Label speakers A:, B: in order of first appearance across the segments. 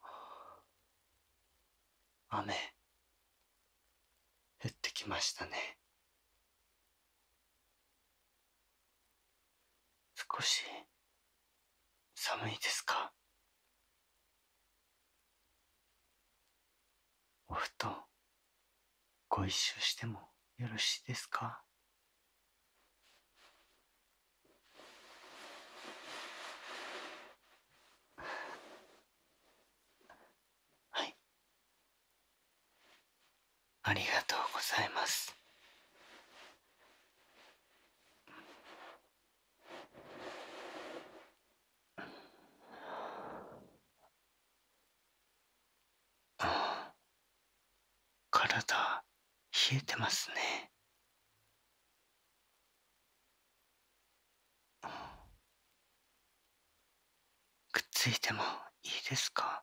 A: は あ。雨降ってきましたね少し寒いですかお布団ご一緒してもよろしいですか はいありがとうございますああ体冷えてますねくっついてもいいですか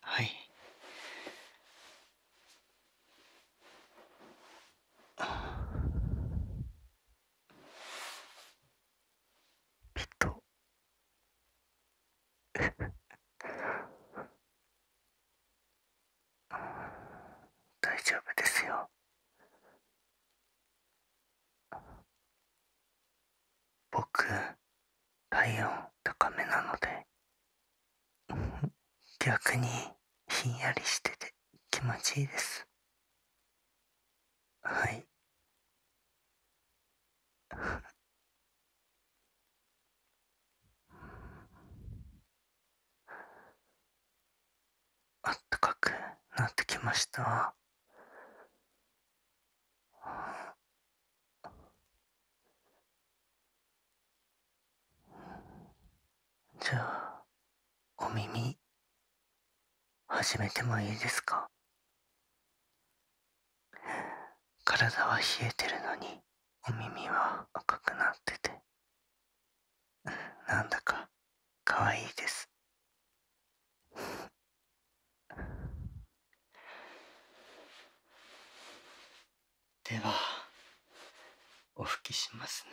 A: はいああ。ペット大丈夫ですよ僕体温高めなので 逆にひんやりしてて気持ちいいですはいあったかくなってきましたじゃあお耳始めてもいいですか体は冷えてるのにお耳は赤くなっててなんだかかわいいですではお拭きしますね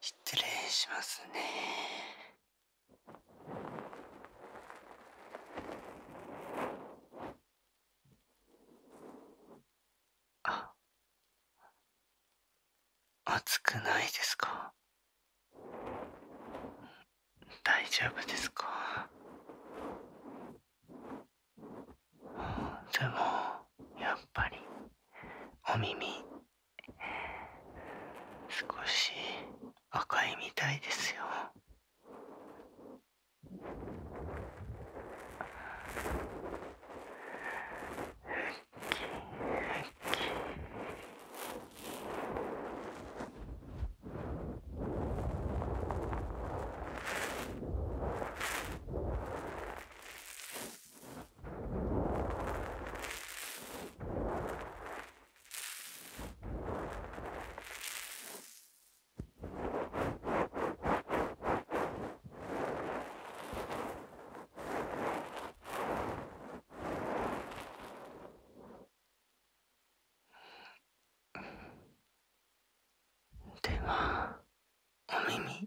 A: 失礼しますねあ暑くないですか大丈夫ですかでもやっぱりお耳少し赤いみたいですよふっきふっきではお耳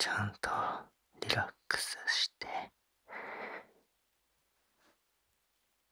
A: ちゃんとリラックスして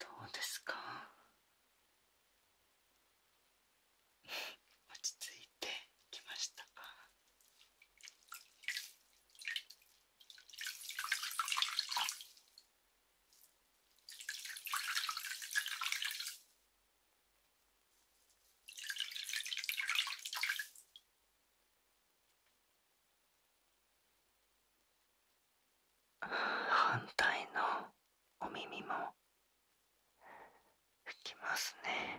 A: どうですか。落ち着いてきましたか反対のお耳も拭きますね。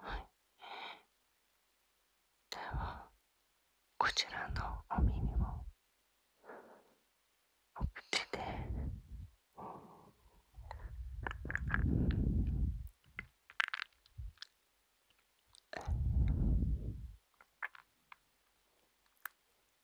A: はいではこちらのお耳もお口で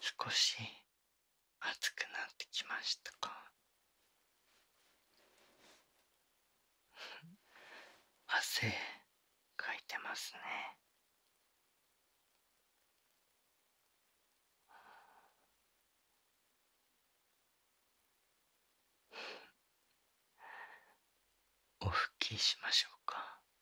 A: 少し暑くなってきましたか 汗かいてますね お拭きしましょうか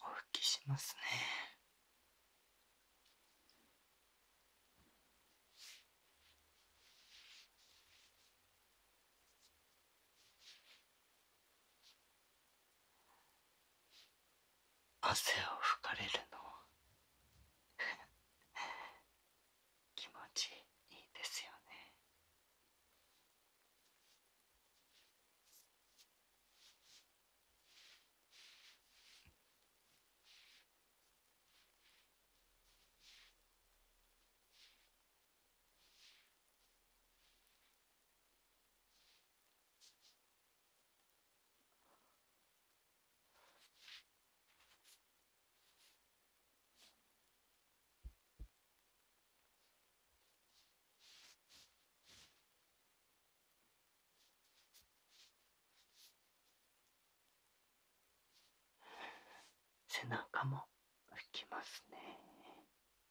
A: お拭きしますね。汗を拭かれるの 気持ちいいですよね背中も拭きますね。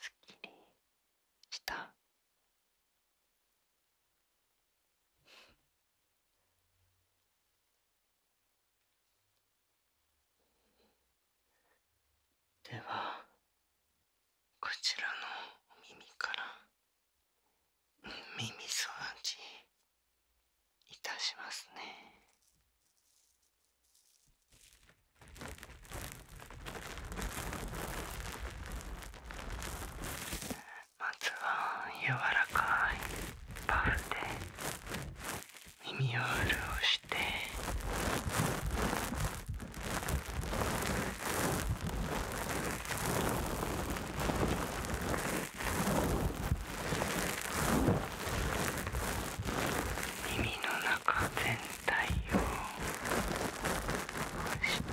A: すっきりした。ではこちらのお耳から耳掃除いたしますね。まずは柔らかいパフで耳を潤して耳の中全体を押して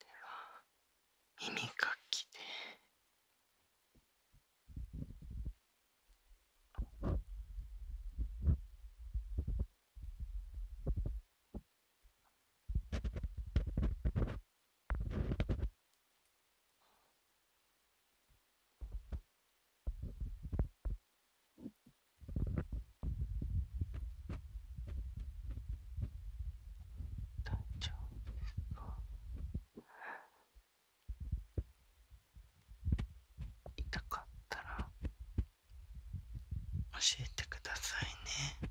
A: では耳かきで。大丈夫ですか痛かったら教えてくださいね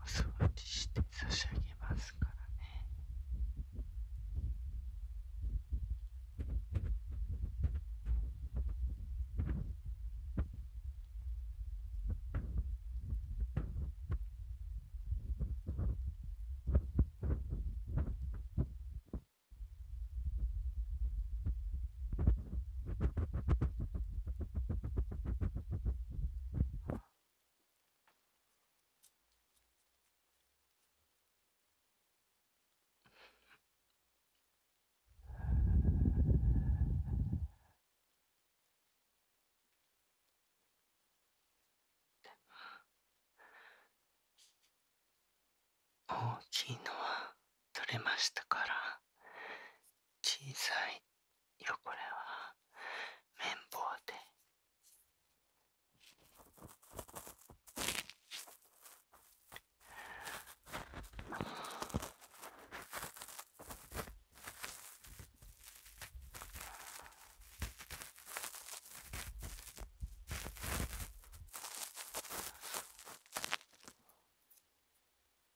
A: お掃除して差し上げますからね大きいのは取れましたから小さいこれは綿棒で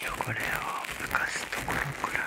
A: 汚れを浮かすところから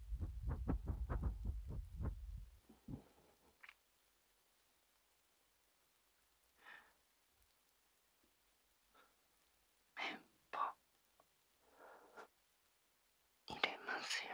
A: メンポ入れますよ。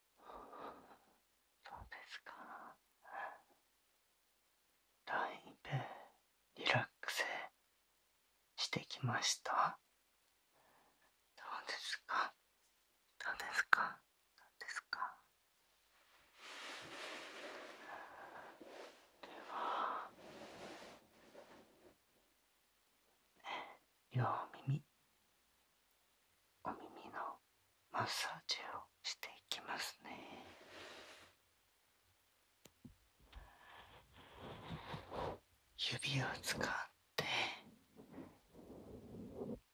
A: そうですかだいぶリラックスしてきましたどうですかどうですかですかでは、両耳お耳のマッサージをしていきますね指を使って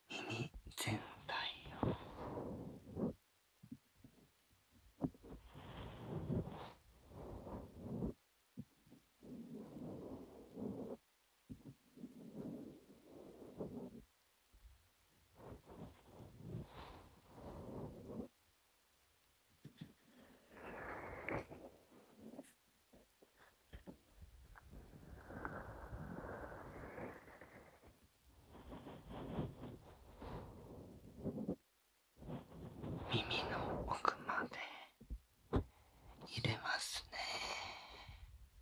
A: 耳全体を耳の奥まで入れますね。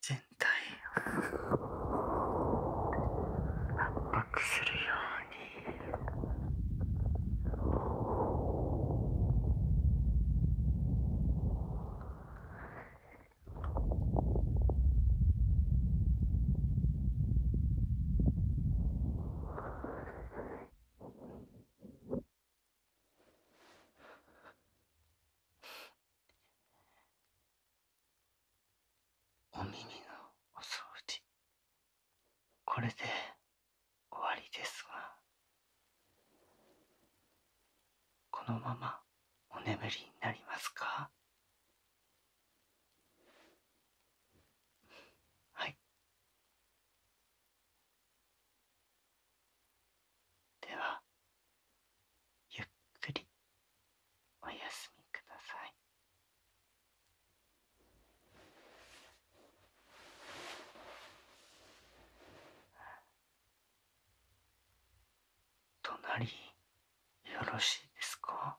A: 全体を圧迫するようにお耳のお掃除これで終わりですがこのままお眠りになりますかはいではゆっくりおやすみください。隣よろしいですか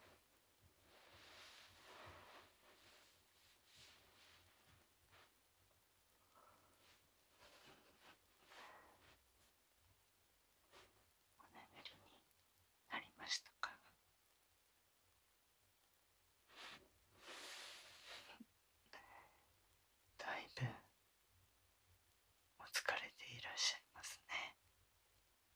A: このレベになりましたかだいぶお疲れでいらっしゃいますね。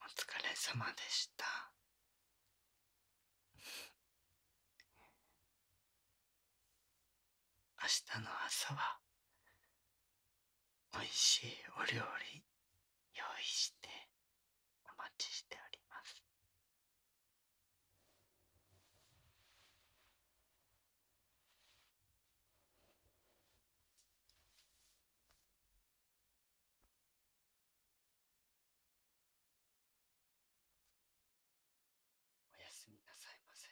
A: お疲れ様でした。明日の朝はおいしいお料理用意してお待ちしております。おやすみなさいませ。